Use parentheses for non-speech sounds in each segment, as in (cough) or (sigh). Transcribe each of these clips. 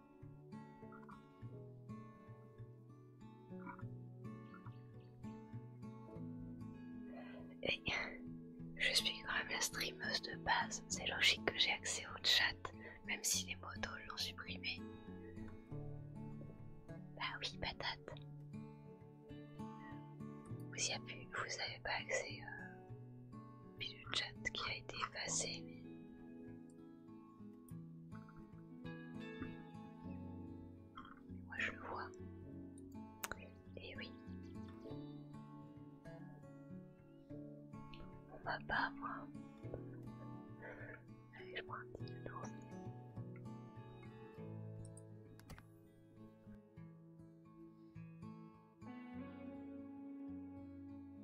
je suis quand même la streameuse de base, c'est logique que j'ai accès au chat, même si les motos l'ont supprimé. Bah oui, patate. Vous n'avez pas accès, euh, au chat qui a été effacé. Moi je le vois. Et oui. On va pas moi. Allez, je prends un petit tour.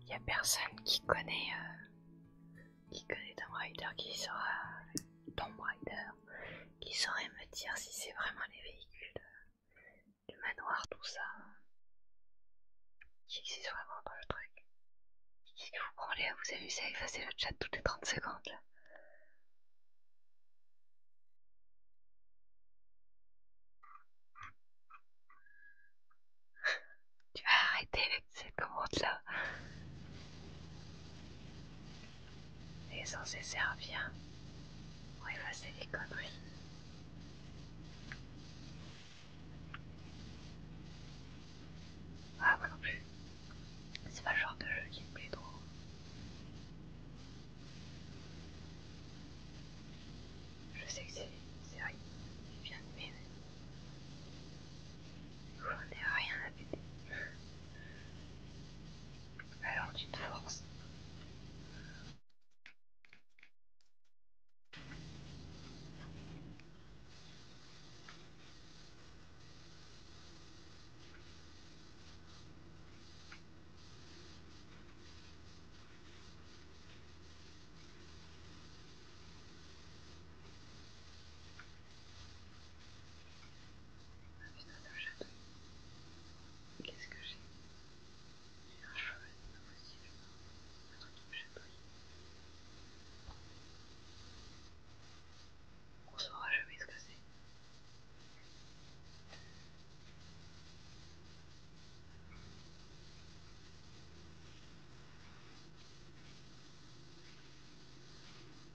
Il n'y a personne qui connaît euh, qui connaît un rider qui saura ton qui saurait me dire si c'est vraiment les véhicules du manoir, tout ça, qui existe vraiment dans le truc. Qui vous prenez à vous amuser à effacer le chat toutes les 30 secondes là Tu vas arrêter (laughs) ces commande là est censé servir pour effacer les bah, conneries. Ah, moi non plus. C'est pas le genre de jeu qui me plaît trop. Je sais que c'est une il vient de m'aimer. Je n'ai rien à péter. Alors d'une force. Qu'est-ce que j'ai J'ai un cheval, c'est pas Un truc qui me chatouille. On saura jamais ce que c'est.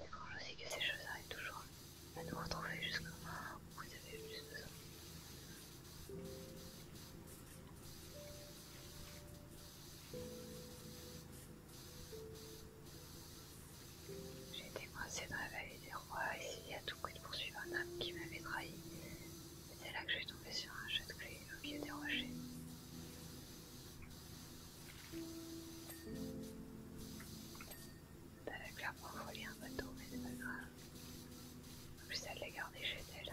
C'est quand je sais que ces choses arrivent toujours à nous retrouver jusqu'à où vous avez eu besoin. J'étais coincé dans la vallée des rois, essayé à tout coup de poursuivre un homme qui m'avait trahi. C'est là que je suis tombé sur un jeu de clé au pied des rochers. avait clairement volé un bateau, mais c'est pas grave. En plus, elle l'a gardé chez elle.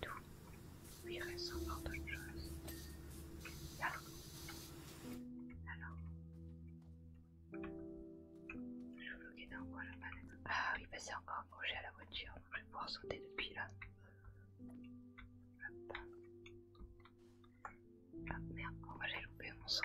Tout lui reste encore d'autres choses. Alors, alors, je suis bloqué dans coin la Ah oui, bah c'est encore accroché à la voiture je vais pouvoir sauter depuis là. Ah, merde, moi oh, j'ai loupé mon sang.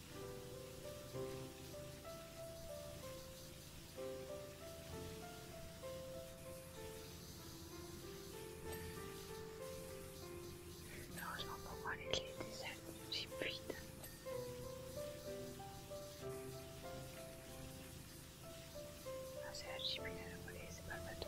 Heureusement pour moi, les clés étaient seules, j'ai pu ah, c'est la chipine à la volée, c'est pas le bateau.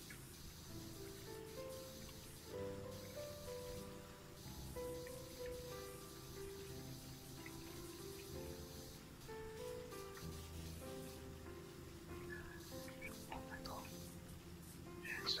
Je comprends pas trop. Je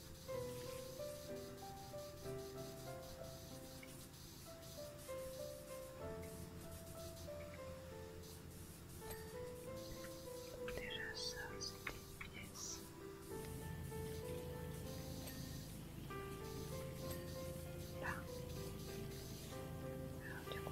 Déjà ça, c'est des pièces. Là. du coup.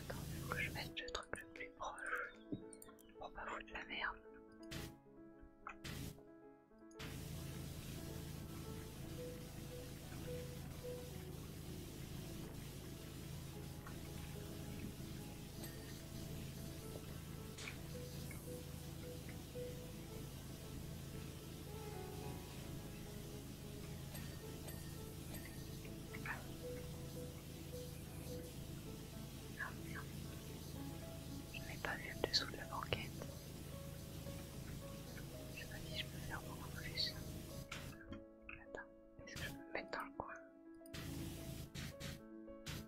Attends, il faut que je mette le truc le plus proche pour pas foutre la merde. Je n'est pas vu en dessous de la banquette. Je me dis, je peux faire beaucoup plus. Attends, est-ce que je peux me mettre dans le coin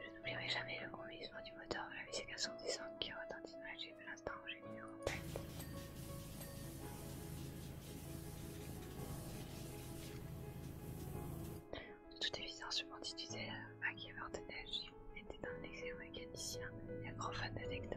Je n'oublierai jamais le grondissement du moteur de la vc 410 qui retentit dans la l'instant où j'ai mis le contact. De toute évidence, je m'en disais à ma qui avait entendu, j'étais un exo-mécanicien et un grand fan d'Adecto.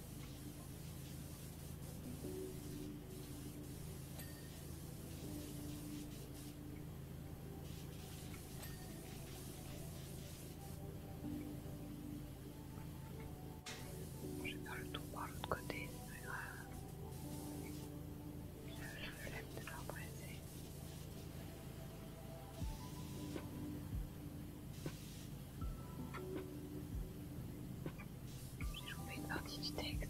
Je vais le tour par l'autre côté, c'est pas grave. Je lève de l'arbre j'ai joué une partie du texte.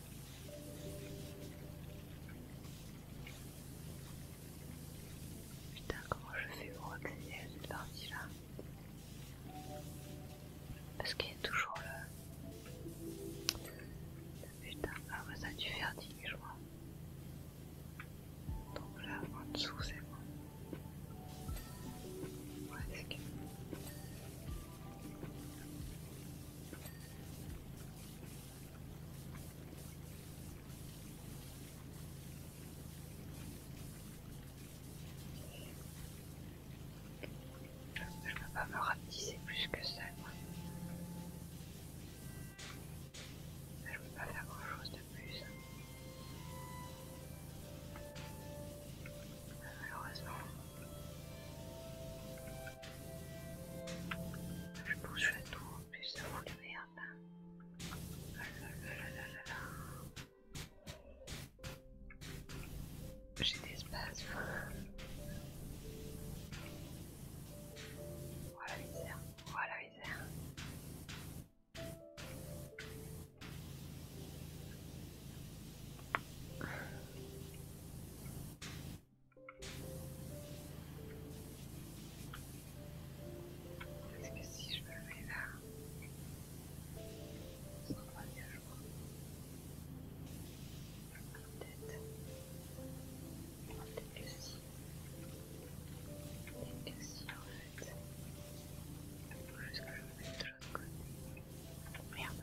Putain, comment je fais pour accéder à cette partie-là Parce qu'il y a toujours le... Putain, ah ça a dû faire 10 je crois. Donc là, en dessous, c'est bon. c'est cool. Je ne peux pas me rapetisser plus que ça. Je ne peux pas faire grand chose de plus. Malheureusement. Je bouge à plus, ça vous de merde. J'ai des Voilà misère, voilà misère. Parce que si je me mets là, ça va bien, je crois. Peut-être. Peut-être que si. Peut-être que si, en fait. juste que je de Merde.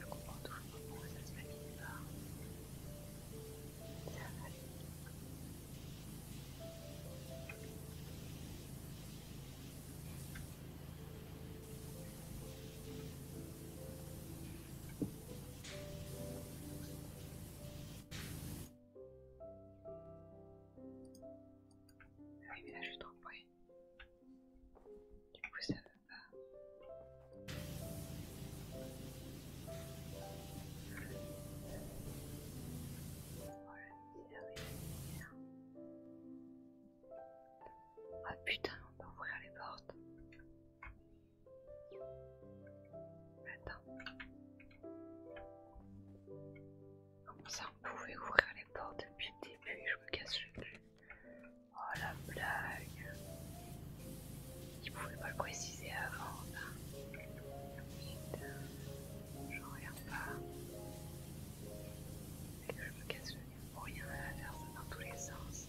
Je comprends toujours pourquoi ça se Ça va là je suis trop Du coup ça ah putain, on peut ouvrir les portes. Attends. Comment ça on pouvait ouvrir les portes depuis le début Je me casse le cul. Oh la blague Il pouvait pas le préciser avant. je j'en regarde pas. Et que je me casse le nez pour rien à la faire dans tous les sens.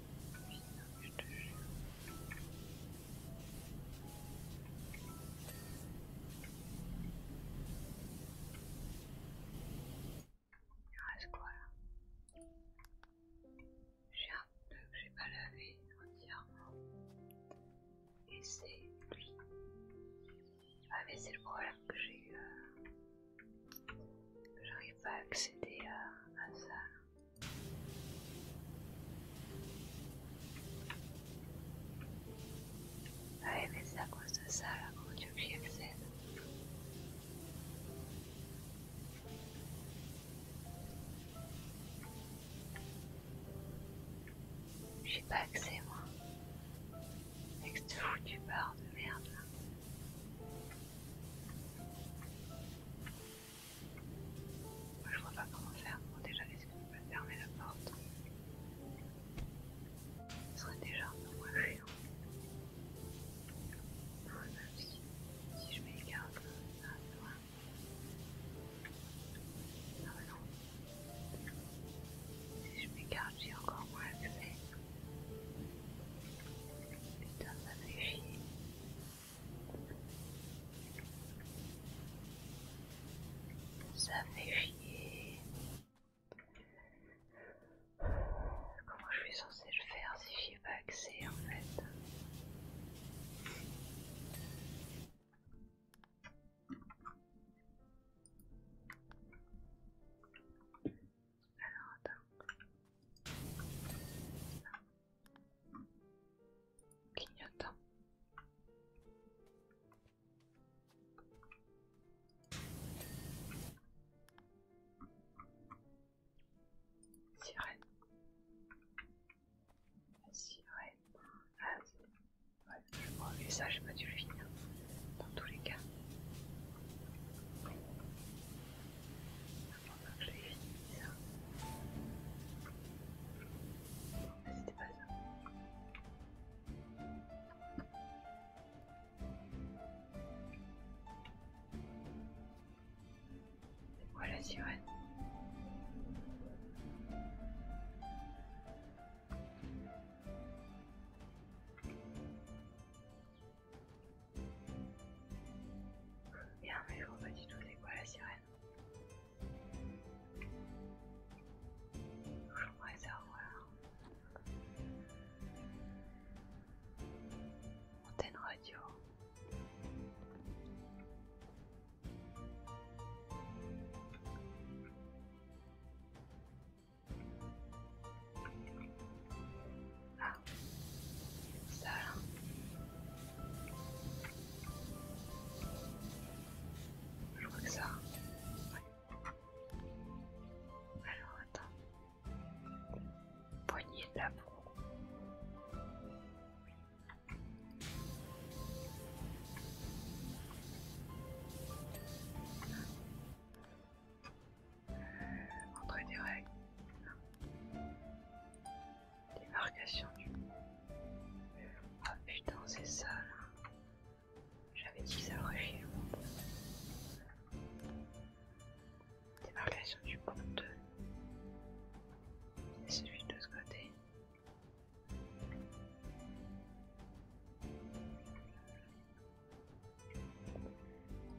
Il reste quoi là J'ai un peu que j'ai pas lavé entièrement. Et c'est Ah mais c'est le problème que j'ai eu. Euh, que J'arrive pas à accéder à ça. Ouais, mais c'est à cause de ça là qu'on Dieu lui accède. J'ai pas accès moi. Avec de foutu bar de merde là. Moi, je vois pas comment faire. déjà, est-ce que je peux fermer la porte Ce serait déjà un peu moins chiant. Ouais, même si, je m'écarte, euh, ça va Ah bah non. Si je m'écarte, j'ai encore moins accès. Putain, ça fait chier. Ça fait chier. Comment je suis censé le faire si j'ai pas accès en fait Alors attends. Clignotant. Sirène. La sirène. Ah, ouais, je crois que ça, j'ai pas dû le finir. Dans tous les cas que C'était pas la sirène. Bien, mais je vois pas du tout c'est quoi la sirène. Je pourrais savoir. Antenne radio. Ah. Ça là. Hein. Je crois que ça. Alors attends. Poignée de la peau. Euh, entre des règles. Démarcation du pont. Ah putain, c'est ça là. J'avais dit que ça aurait fait le Démarcation du pont 2. C'est celui de ce côté.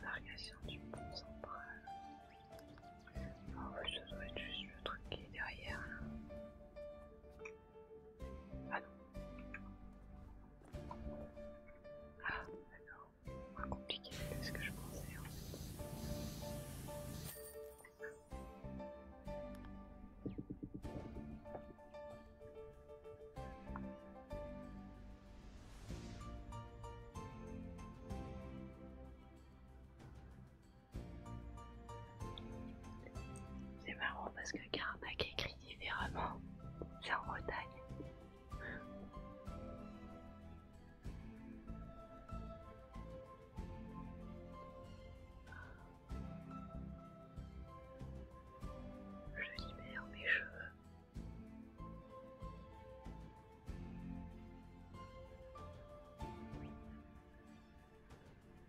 Variation du pont central. En oh, ah fait, ouais, doit être juste le truc qui est derrière ah non. Ah d'accord. compliqué que ce que je pensais en fait. C'est marrant parce que le Carnac écrit différemment. C'est en Bretagne. Je libère mes cheveux.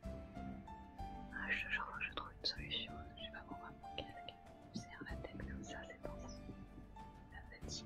Ah, je, trouve une solution, je sais pas pourquoi mon casque me serre la tête comme ça, c'est dans La fatigue.